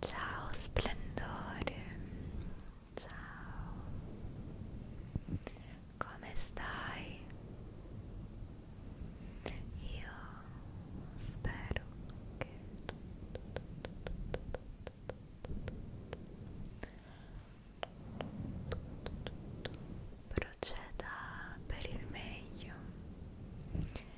Ciao splendore, ciao, come stai? Io spero che proceda per il meglio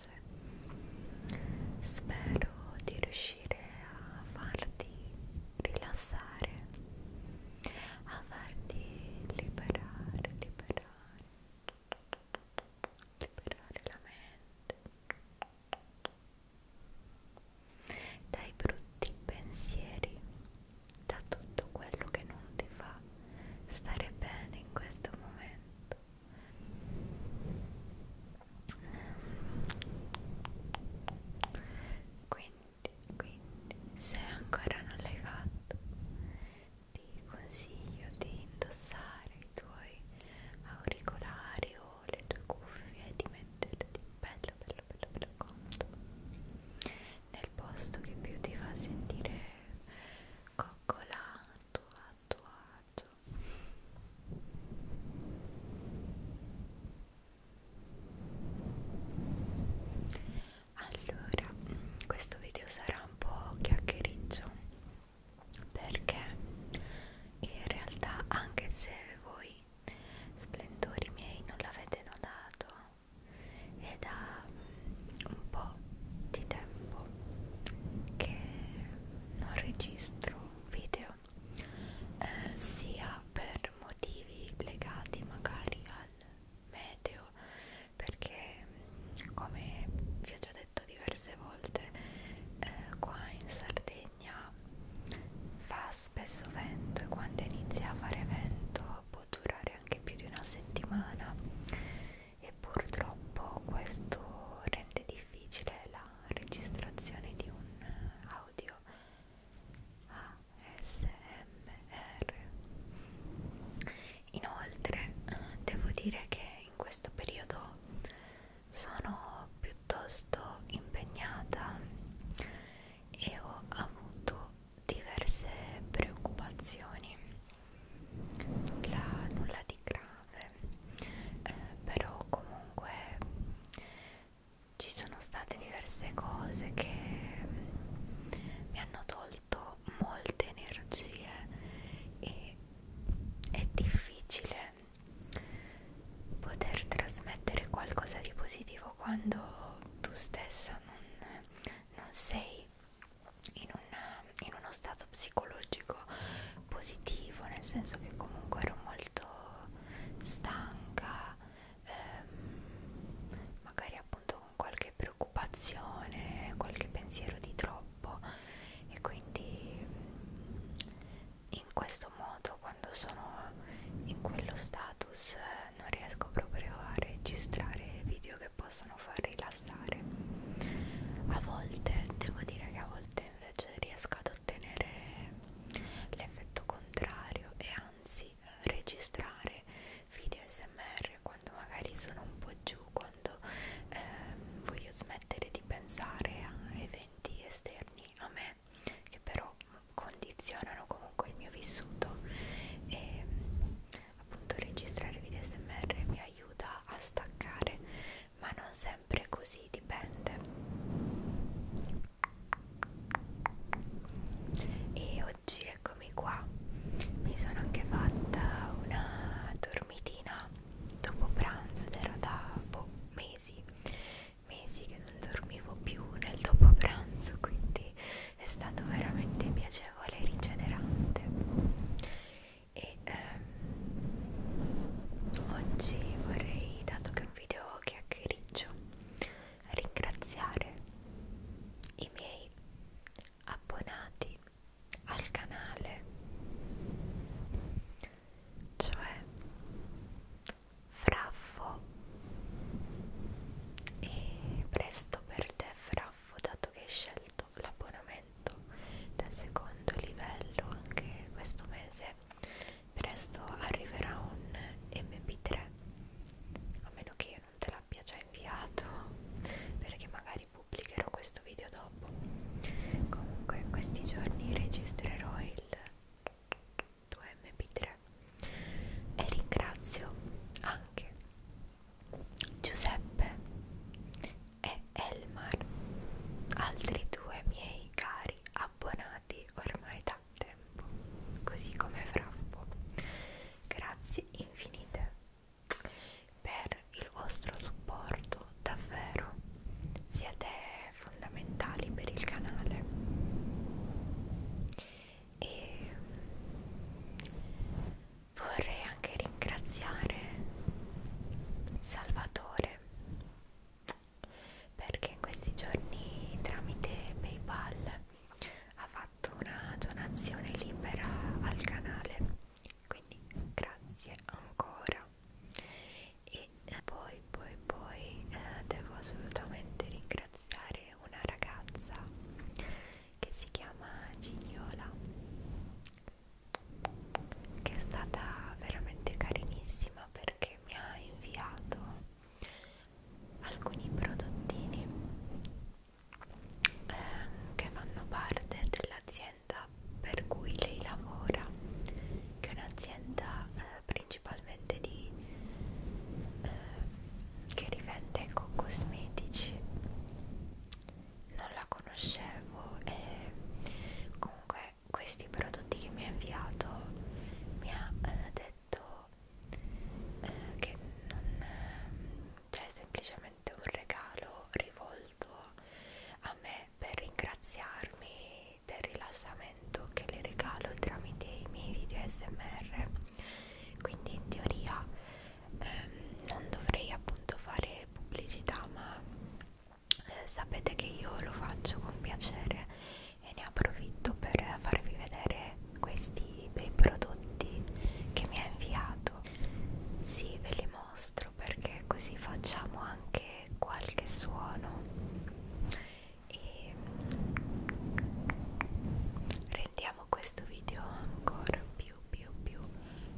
interesse spero di riuscire a farti rilassare a farti liberare liberare liberare la mente dai brutti pensieri da tutto quello che non ti fa stare bene in questo momento quindi, quindi se ancora non l'hai fatto ti consiglio di indossare i tuoi auricolari o le tue cuffie e di metterti bello bello bello bello comodo nel posto che più ti fa sentire coccolato a agio allora questo video sarà un po' chiacchiericcio perché in realtà anche se voi splendori miei non l'avete notato è da un po' di tempo che non registro video eh, sia per motivi legati magari al meteo perché mm, come vi ho già detto diverse volte eh, qua in Sardegna fa spesso vento e quando inizia a fare vento può durare anche più di una settimana e purtroppo questo rende difficile la registrazione di un audio ASMR. Inoltre, devo dire che in questo periodo sono piuttosto impegnata e ho avuto diverse preoccupazioni. Nulla, nulla di grave grave eh, però comunque ci sono state diverse cose che mm, mi hanno tolto molte energie e è difficile poter trasmettere qualcosa di positivo quando tu stessa non, non sei in, una, in uno stato supporto psicologico positivo, nel senso che comunque ero molto stanca, ehm, magari appunto con qualche preoccupazione, qualche pensiero di troppo e quindi in questo modo quando sono in quello status non riesco proprio a registrare video che possano far rilassare a volte devo dire che a volte invece riesco ad ottenere l'effetto contrario e anzi eh, registrare video smr quando magari sono un po' giù quando eh, voglio smettere di pensare a eventi esterni a me che però condizionano comunque il mio vissuto e appunto registrare video smr mi aiuta a staccare ma non sempre così dipende e oggi eccomi qua mi sono anche fatta una dormitina dopo pranzo ed ero da boh, mesi mesi che non dormivo più nel dopo pranzo quindi è stato veramente piacevole e rigenerante e ehm, oggi vorrei, dato che è un video chiacchiericcio, ringraziare i miei abbonati al canale, cioè Fraffo e presto per te Fraffo dato che hai scelto l'abbonamento del secondo livello anche questo mese presto arriverà un mp3 a meno che io non te l'abbia già inviato perché magari pubblicherò questo video dopo comunque questi giorni registrerò il 2mp3 e ringrazio anche Giuseppe e Elmar, altri due miei cari abbonati ormai da tempo, così come Frappo. Grazie infinite per il vostro supporto, davvero siete fondamentali per il canale. E vorrei anche ringraziare Salvatore perché in questi giorni tramite PayPal ha fatto una donazione libera al canale quindi grazie ancora e eh, poi poi poi eh, devo assolutamente ringraziare una ragazza che si chiama Gignola che è stata veramente carinissima perché mi ha inviato alcuni prodottini eh, che fanno parte dell'azienda per cui lei lavora che è un'azienda eh, principalmente di eh, che rivende ecco, cosmetici non la conoscevo e comunque questi prodotti che mi ha inviato mi ha eh, detto eh, che non eh, cioè è semplicemente un regalo rivolto a me per ringraziarmi del rilassamento che le regalo tramite i miei video smr quindi in teoria ehm, non dovrei appunto fare pubblicità ma eh, sapete che io lo faccio con piacere e ne approfitto per farvi vedere questi bei prodotti che mi ha inviato sì ve li mostro perché così facciamo anche qualche suono e rendiamo questo video ancora più più più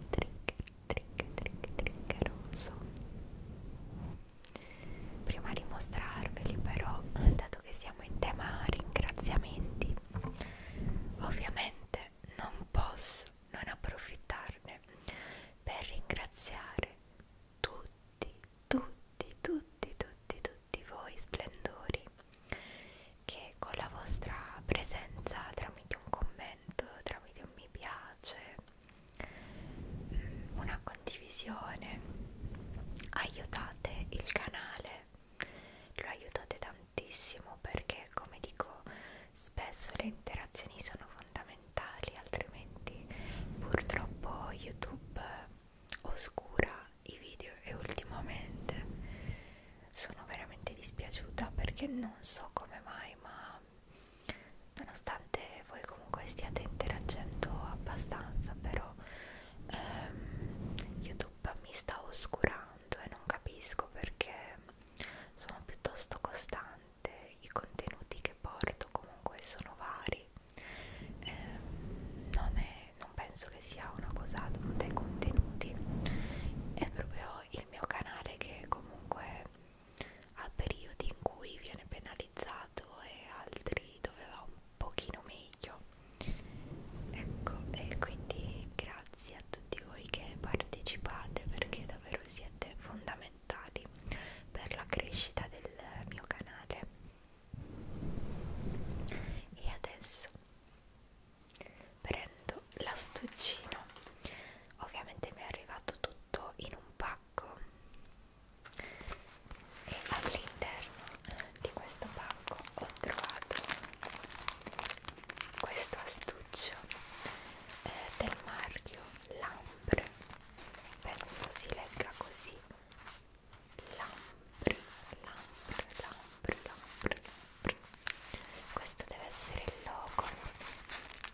trigger trick trick trickeroso prima di mostrarveli però dato che siamo in tema ringraziamenti ovviamente non posso non approfittarne per ringraziare tutti tutti tutti tutti tutti voi splendori che con la vostra presenza tramite un commento tramite un mi piace Mm, una condivisione, aiutate il canale, lo aiutate tantissimo perché come dico spesso le interazioni sono fondamentali, altrimenti purtroppo YouTube oscura i video e ultimamente sono veramente dispiaciuta perché non so come mai ma nonostante voi comunque stiate interagendo abbastanza però ehm, youtube mi sta oscurando e non capisco perché sono piuttosto costante i contenuti che porto comunque sono vari ehm, non, è, non penso che sia una cosa dei contenuti è proprio il mio canale che comunque a periodi in cui viene penalizzato e altri dove va un pochino meglio ecco e quindi grazie a tutti voi che partecipate perché davvero siete fondamentali per la crescita del mio canale e adesso prendo l'astuccino ovviamente mi è arrivato tutto in un pacco e all'interno di questo pacco ho trovato questo astuccio eh, del marchio Lambre penso si legga così Lambre, Lambre, Lambre, Lambre, Lambre questo deve essere il logo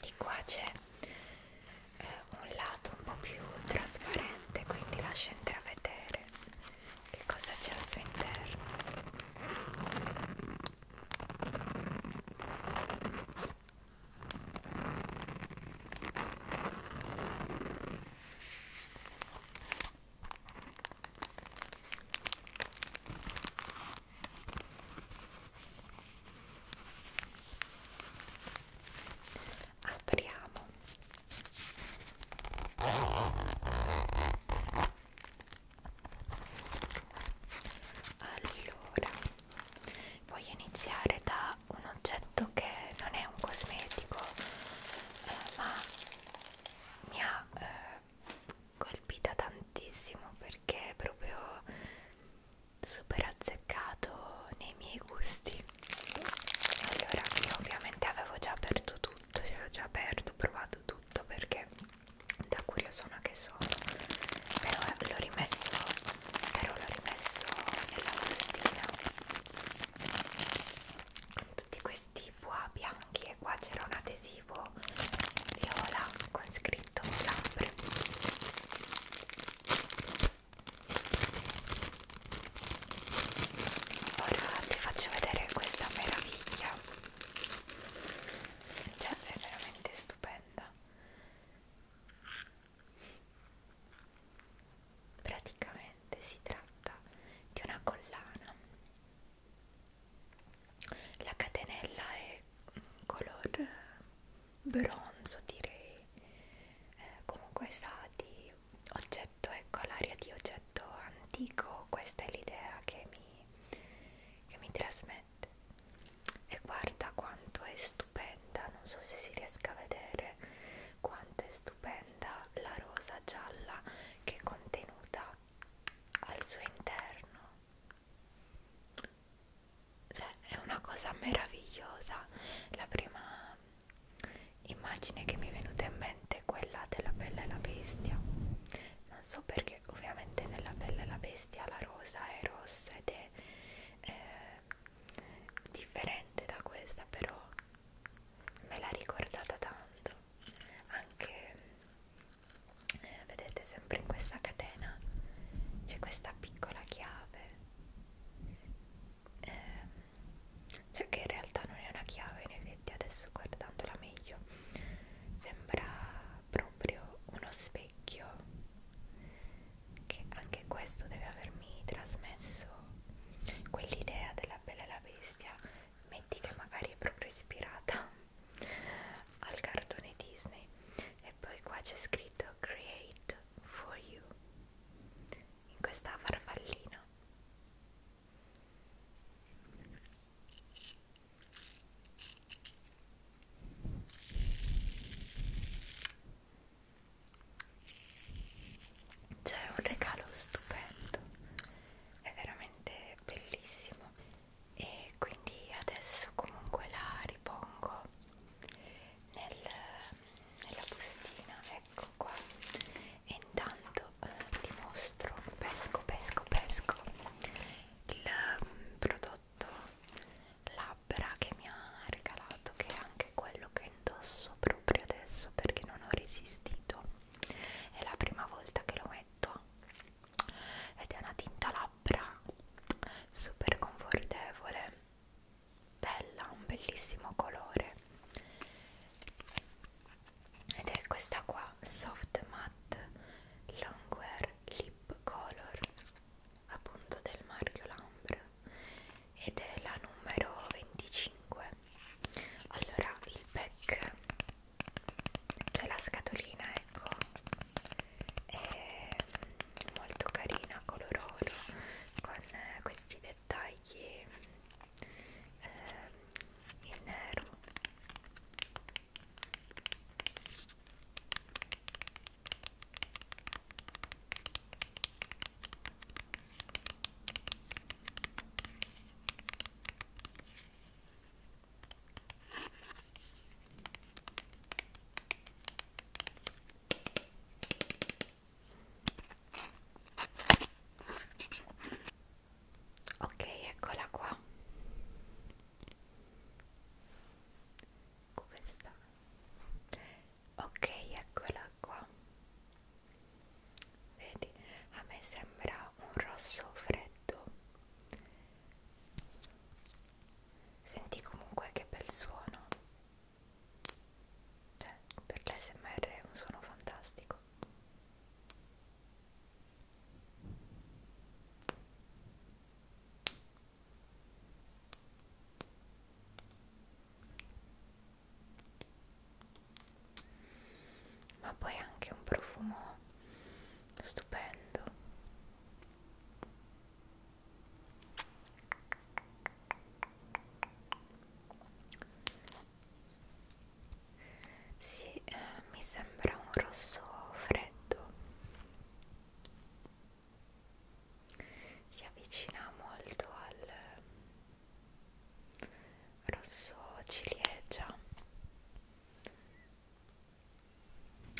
di qua c'è eh, un lato un po' più trasparente quindi lascia intravedere che cosa c'è al suo interno apriamo allora voglio iniziare da un oggetto che non è un cosmetico eh, ma mi ha eh, colpita tantissimo perché proprio super azzeccato nei miei gusti allora io ovviamente avevo già aperto tutto ce cioè, l'ho già aperto provato tutto perché da curiosona che sono però eh, l'ho rimesso però l'ho rimesso nella bustina con tutti questi bois bianchi e qua c'era un adesivo viola con scritto labbra Ora ti faccio vedere questa meraviglia. Cioè, è veramente stupenda. Praticamente si tratta di una collana. La catenella è color bronzo direi eh, comunque sa di oggetto ecco l'aria di oggetto antico questa è l'idea che mi, che mi trasmette e guarda quanto è stupenda non so se si riesca a vedere quanto è stupenda la rosa gialla che è contenuta al suo interno cioè è una cosa meravigliosa la prima immagine che mi è venuta in mente è quella della bella e la bestia non so perché ovviamente nella bella e la bestia la rosa è rossa ed è eh, differente da questa però me l'ha ricordata tanto anche eh, vedete sempre in questa catena c'è questa piccola chiave ehm, cioè che in realtà non è una chiave in effetti adesso guardandola meglio sembra proprio uno specchio che anche questo deve avermi trasmesso quell'idea della bella e la bestia metti che magari è proprio ispirata al cartone Disney e poi qua c'è scritto creator create for you in questa farfallina c'è un regalo stupendo è veramente bellissimo e quindi adesso comunque la ripongo nel, nella bustina ecco qua e intanto eh, ti mostro pesco pesco pesco il mm, prodotto labbra che mi ha regalato che è anche quello che indosso proprio adesso perché non ho resistito è la prima volta che lo metto ed è una tinta labbra super confortevole bella, un bellissimo colore ed è questa qua, Soft Matte Longwear Lip Color appunto del marchio Lambre ed è la numero 25 allora il pack cioè la scatolina ecco è molto carina color oro con eh, questi dettagli eh, in nero Ok, eccola qua. Questa. Ok, eccola qua. Vedi, a me sembra un rosso freddo. Senti comunque che bel suono. Cioè, per l'SMR è un suono fantastico. Ma poi anche un profumo stupendo. Sì, eh, mi sembra un rosso freddo. Si avvicina molto al rosso ciliegia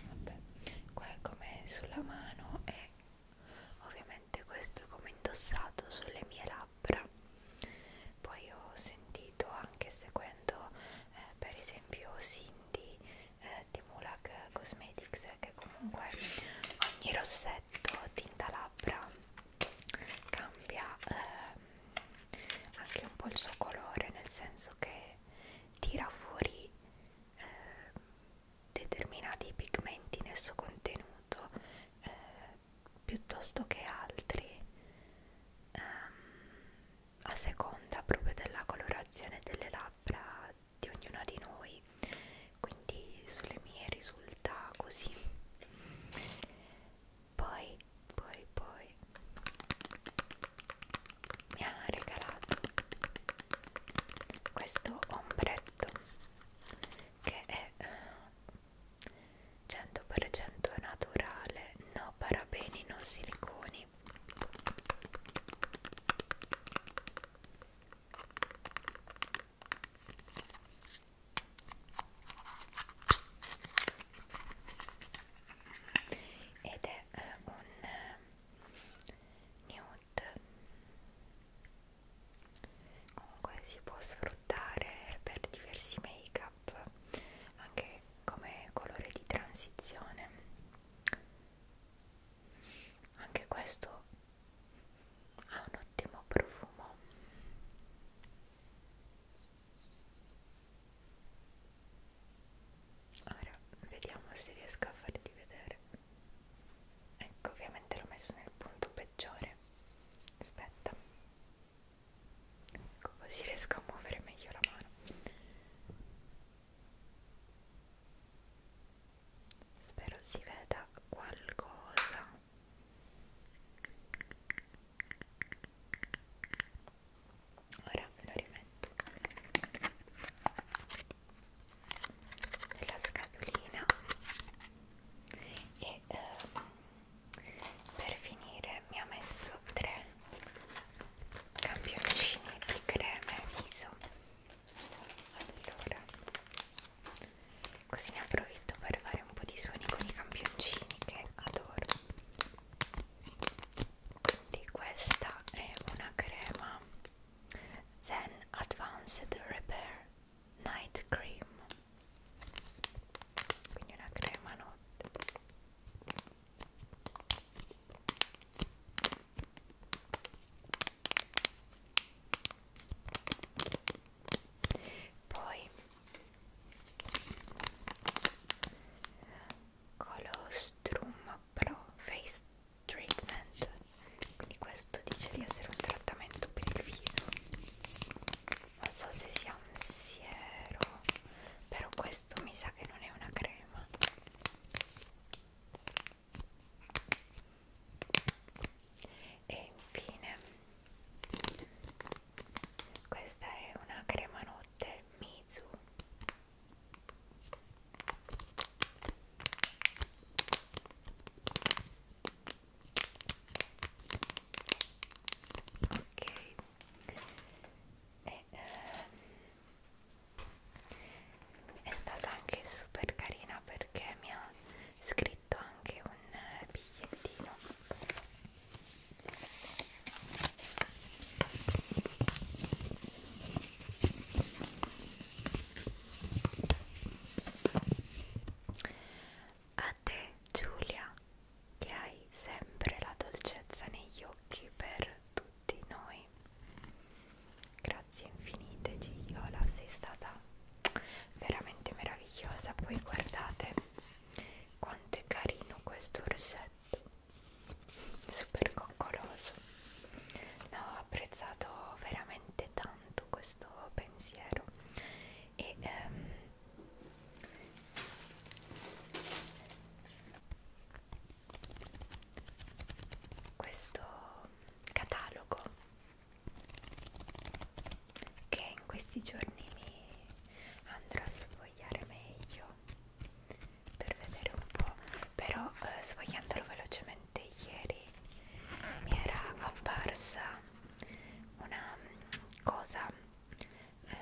Vabbè, qua è come sulla mano e ovviamente questo è come indossato sulle mie labbra. Poi ho sentito anche seguendo eh, per esempio Cindy eh, di Mulak Cosmetics che comunque ogni rossetto tinta labbra cambia eh, anche un po' il suo colore nel senso che tira fuori eh, determinati pigmenti in esso contenuto eh, piuttosto che altri ehm, a seconda proprio della colorazione delle labbra di ognuna di noi quindi sulle mie risulta così poi poi poi mi ha regalato questo ombretto che è 100% eh, naturale, no parabeni, no siliconi ed è eh, un eh, nude Mm, comunque si può sfruttare per diversi make up anche come colore di transizione anche questo ha un ottimo profumo ora vediamo se riesco a farti vedere ecco ovviamente l'ho messo nel punto peggiore aspetta ecco così riesco a muovere meglio la mano spero si veda qualcosa ora lo rimetto nella scatolina e ehm, per finire mi ha messo tre campioncini di creme viso allora così ne approfitto per fare un po' di suoni con i campioncini che adoro quindi questa è una crema Then Advanced Repair Night Cream. Quindi Colostrum però face treatment quindi questo dice di essere un trattamento per il viso non so se sia un siero però questo mi sa che non è una crema e infine questa è una crema notte Mizu ok e, eh, è stata anche super carina perché mi ha scritto anche un bigliettino a te Giulia, che hai sempre la dolcezza negli occhi per tutti noi. Grazie infinite Gigliola, sei stata veramente meravigliosa. Poi guardate quanto è carino questo orsetto super coccoloso no, ho apprezzato veramente tanto questo pensiero e ehm, questo catalogo che in questi giorni mi andrò a sfogliare meglio per vedere un po', però eh, sfogliandolo velocemente ieri mi era apparsa una mm, cosa, eh,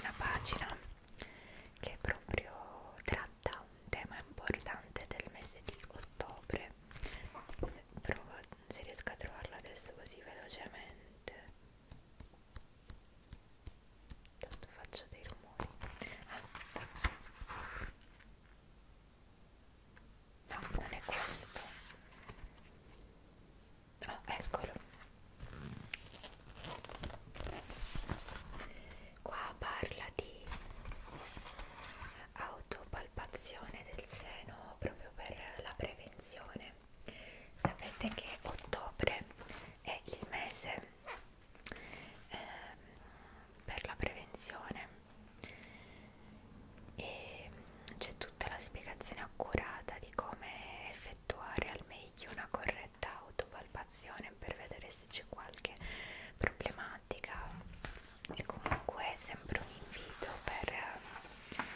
una pagina che proprio tratta un tema importante del mese di ottobre. Se provo se riesco a trovarla adesso così velocemente tanto faccio dei rumori ah. no non è questo oh, eccolo qua parla di autopalpazione del seno proprio per la prevenzione sapete che ottobre è il mese eh, per la prevenzione e c'è tutta la spiegazione accurata di come effettuare al meglio una corretta autopalpazione per vedere se c'è qualche problematica e comunque è sempre un invito per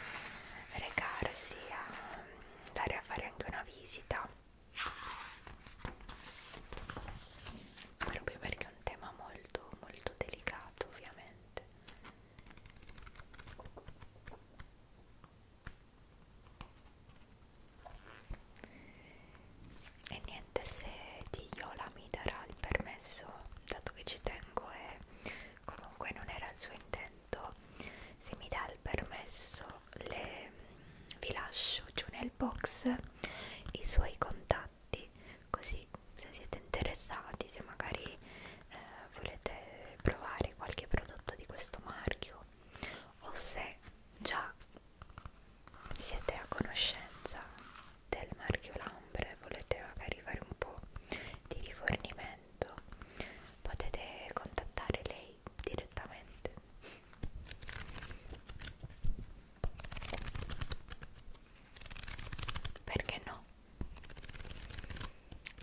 recarsi a andare a fare anche una visita proprio perché è un tema molto molto delicato ovviamente e niente se di Yola mi darà il permesso dato che ci tengo e comunque non era il suo intento se mi dà il permesso le, vi lascio giù nel box i suoi contatti così se siete interessati se magari eh, volete provare qualche prodotto di questo marchio o se già siete a conoscenza del marchio Lambre volete magari fare un po' di rifornimento potete contattare lei direttamente perché no?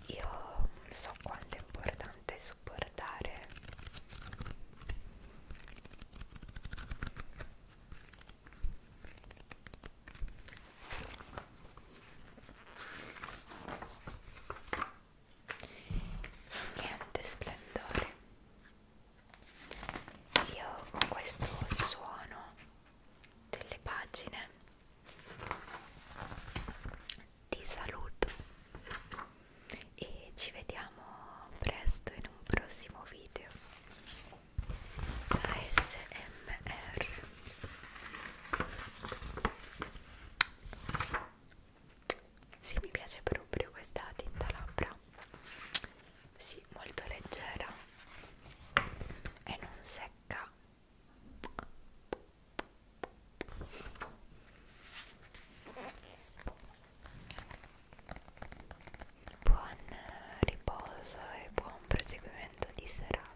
Io so quanto è importante supportare niente splendore io con questo suono delle pagine ti saluto e ci vediamo presto in un prossimo video ASMR sì, mi piace proprio questa tinta labbra. Sì, molto leggera e non secca. Buon riposo e buon proseguimento di serata.